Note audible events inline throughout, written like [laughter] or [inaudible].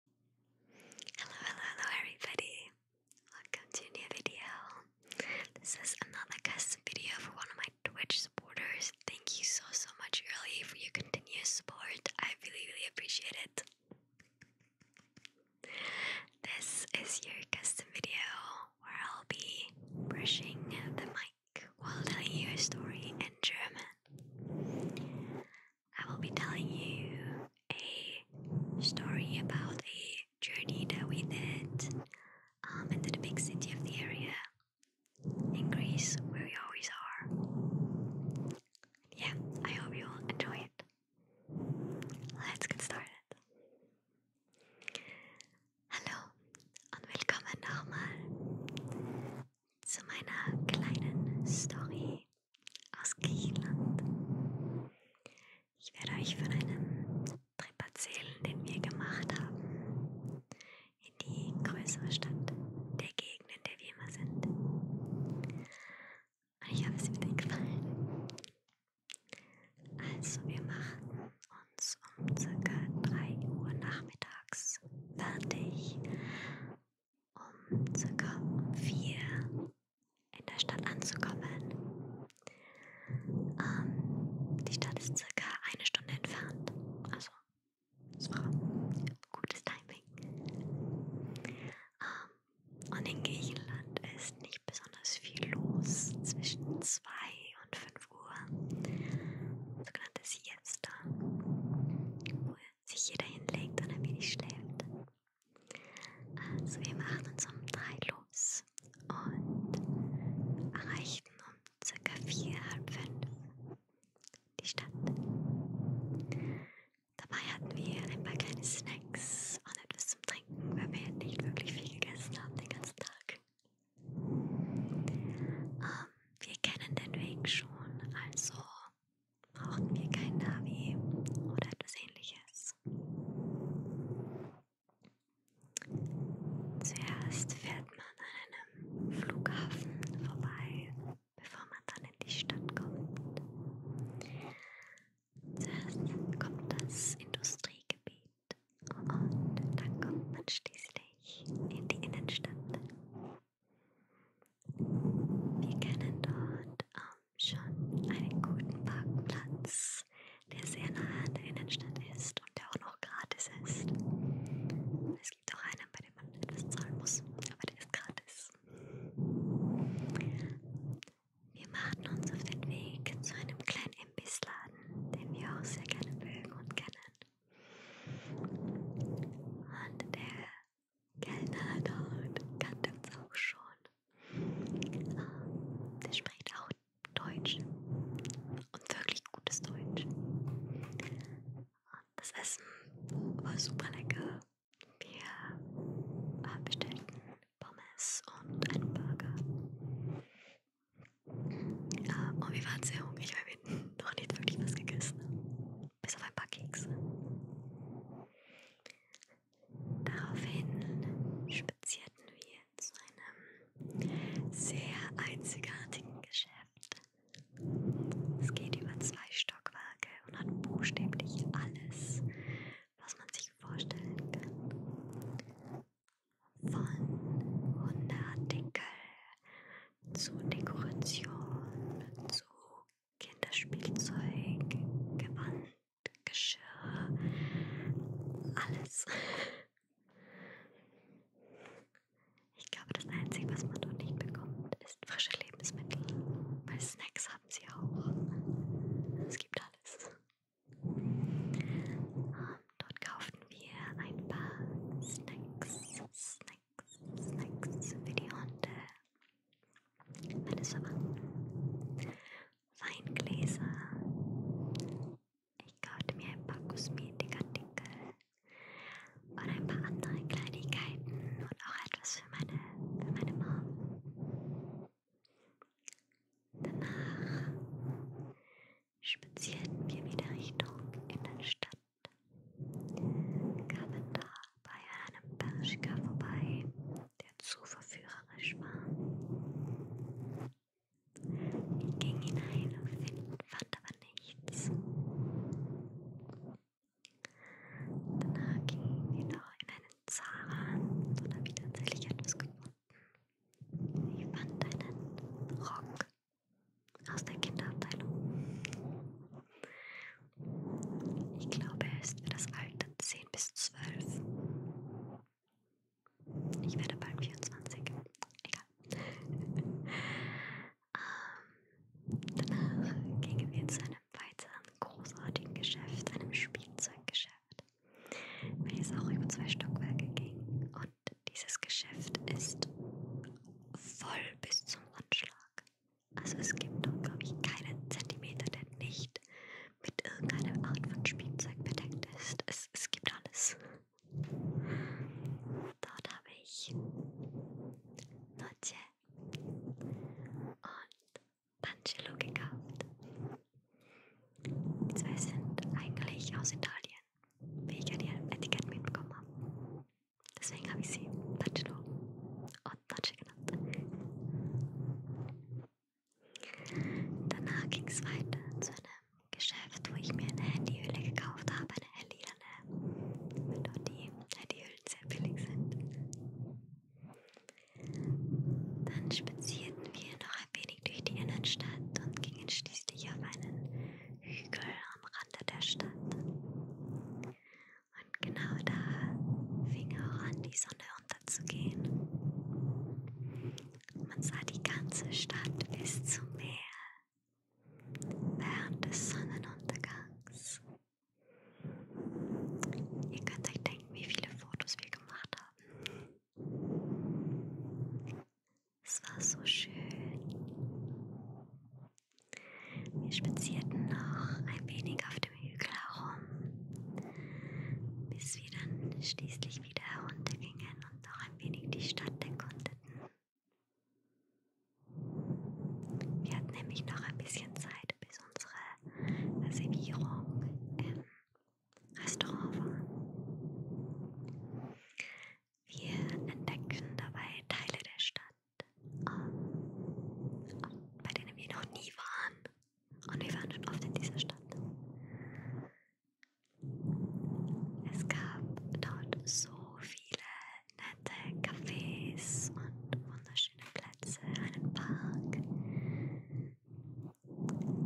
Hello, hello, hello, everybody! Welcome to a new video. This is another custom video for one of my Twitch supporters. Thank you so, so much, Early, for your continuous support. I really, really appreciate it. This is your custom video where I'll be brushing the mic while telling you a story in German. I will be telling you a story about a journey that we did um, into the big city of the area in Greece, where we always are. Yeah, I hope you will enjoy it. Let's get started. Hallo und willkommen nochmal zu meiner kleinen Story aus Griechenland. Ich werde euch von einem Trip erzählen, den wir gemacht haben in die größere Stadt der Gegend, in der wir immer sind. Und ich hoffe, es wird euch gefallen. Also, wir machten uns um ca. 3 Uhr nachmittags fertig um circa um vier in der Stadt anzukommen. Ähm, die Stadt ist circa eine Stunde entfernt, also es war gutes Timing. Ähm, und in Griechenland ist nicht besonders viel los zwischen zwei und fünf Ruhe, sogenannte Siesta, wo sich jeder hinlegt und ein wenig schläft. Also wir machen uns um drei los und erreichten um circa vier, halb fünf die Stadt. Dabei hatten wir ein paar kleine Snacks und etwas zum Trinken, weil wir nicht wirklich viel gegessen haben den ganzen Tag. Ähm, wir kennen den Weg schon, also brauchen wir kein Navi oder etwas ähnliches. Zuerst fährt man an einem Flughafen vorbei, bevor man dann in die Stadt kommt. Zuerst kommt das Industriegebiet. Und dann kommt man schließlich in die Innenstadt. Wir kennen dort ähm, schon einen guten Parkplatz, der sehr nah an der Innenstadt ist und der auch noch gratis ist. Es gibt auch einen, bei dem man etwas zahlen muss, aber der ist gratis. Wir machten uns auf den Weg zu einem kleinen Imbissladen, den wir auch sehr gerne mögen und kennen. Und der Kellner dort kannte uns auch schon. Ähm, der spricht auch Deutsch und wirklich gutes Deutsch. Das Essen war super lecker. Wir äh, bestellten Pommes und einen Burger. Ähm, und wir waren sehr hungrig, weil wir noch nicht wirklich was gegessen haben. Bis auf ein paar Kekse. Daraufhin spazierten wir zu einem sehr einzigartigen Geschäft. Es geht über zwei Stockwerke und hat buchstäblich alles, was man sich vorstellen kann von Hundeartikel zu Dekoration zu Kinderspielzeug, Gewand, Geschirr, alles. Ich glaube, das Einzige, was man dort nicht bekommt, ist frische Lebensmittel, weil Snacks haben sie auch. Es gibt alles. Dort kauften wir ein paar Snacks, Snacks, Snacks für die Hunde, meines Verwandten, Weingläser. Ich kaufte mir ein paar Kosmetikartikel und ein paar andere Kleinigkeiten und auch etwas für meine, für meine Mom. Danach spazierten wir wieder Richtung Innenstadt, kamen da bei einem Bershka vorbei, der zu verführerisch war. Ich ging hinein und fand aber nichts. Danach gingen wir noch in eine Zahn und habe ich tatsächlich etwas gefunden. Ich fand einen Rock aus der Kinderabteilung. Ich glaube, er ist für das Alter 10 bis 12. Ich werde bald 24. Egal. [laughs] ähm, danach gingen wir zu einem weiteren großartigen Geschäft, einem Spielzeuggeschäft, welches auch über zwei Stockwerke ging. Und dieses Geschäft ist voll bis zum Anschlag. Also es gibt dort, glaube ich, keinen Zentimeter, der nicht mit irgendeiner Art von Spielzeug bedeckt ist. Es, es gibt alles. Dort habe ich Noche und Pancelo gekauft. Die zwei sind eigentlich aus Italien, wie ich an ihrem Etikett mitbekommen habe. Deswegen habe ich sie Pancelo und Pace genannt. Danach ging es weiter zu einem Geschäft, wo ich mir eine Handyhülle gekauft habe, eine hellilane, weil dort die Handyhüllen sehr billig sind. Dann spazierten wir noch ein wenig durch die Innenstadt und gingen schließlich auf einen Hügel am Rande der Stadt. Und genau da fing auch an, die Sonne unterzugehen. Man sah die ganze Stadt bis zum Meer während des Sonnenuntergangs. Ihr könnt euch denken, wie viele Fotos wir gemacht haben. Es war so schön. Wir spazierten noch ein wenig auf dem Hügel herum, bis wir dann schließlich wieder heruntergingen und noch ein wenig die Stadt erkundeten. Wir hatten nämlich noch ein bisschen Zeit, bis unsere Reservierung im Restaurant war. Wir entdecken dabei Teile der Stadt, um, ähm, um, bei denen wir noch nie waren. Und wir waren schon oft in dieser Stadt. Es gab dort so viele nette Cafés und wunderschöne Plätze, einen Park.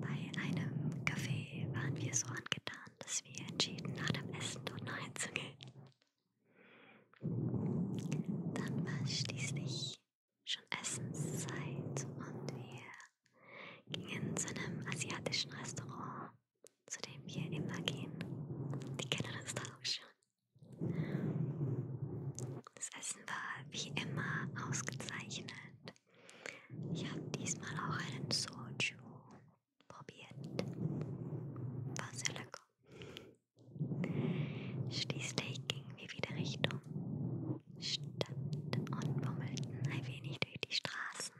Bei einem Café waren wir so angetan, dass wir entschieden, nach dem Essen dort noch hinzugehen. Dann war schließlich schon Essenszeit und wir gingen zu einem asiatischen Restaurant zu dem wir immer gehen. Die kennen uns da auch schon. Das Essen war wie immer ausgezeichnet. Ich habe diesmal auch einen Soju probiert. War sehr lecker. Schließlich gingen wir wieder Richtung Stadt und bummelten ein wenig durch die Straßen.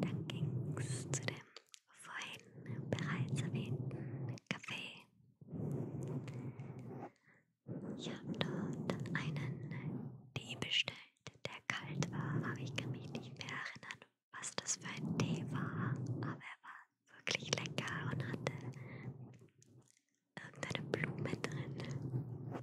Dann ging es zu dem vorhin bereits erwähnten Café. Ich habe dort einen Tee bestellt, der kalt war, aber ich kann mich nicht mehr erinnern, was das für ein Tee war, aber er war wirklich lecker und hatte irgendeine Blume drin.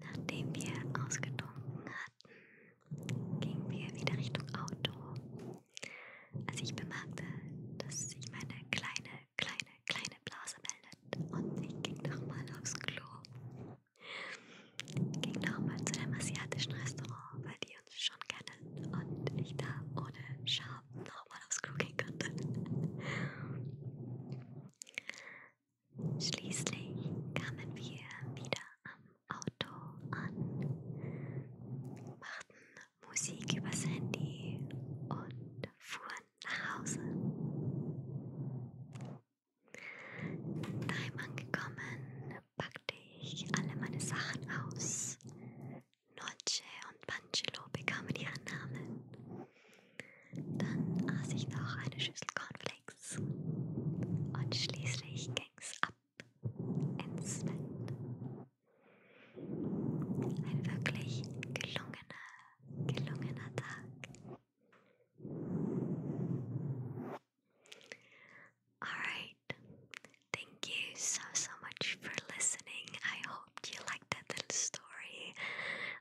Nachdem wir ausgetrunken hatten, gingen wir wieder Richtung Auto. Als ich bemerkte, dass sich meine kleine, kleine, kleine Blase meldet und ich ging nochmal aufs Klo. Ging nochmal zu einem asiatischen Restaurant, weil die die uns schon kennen und ich da ohne Scham nochmal aufs Klo gehen konnte. Schließlich kamen wir wieder am Auto an, machten Musik übers Handy und fuhren nach Hause. Daheim angekommen, packte ich alle meine Sachen aus, Noce und Pancello bekamen ihren Namen. Dann aß ich noch eine Schüssel Cornflakes und schließlich ging's ab ins Bett. Ein wirklich gelungener, gelungener Tag. Alright, thank you so so much for listening. I hope you liked that little story.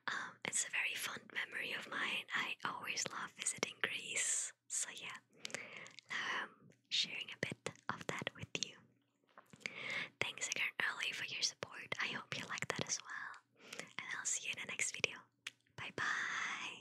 Um, it's a very fond memory of mine. I always love visiting Greece. So yeah, now I'm um, sharing a bit of that with you. Thanks again, Early, for your support. I hope you like that as well. And I'll see you in the next video. Bye bye.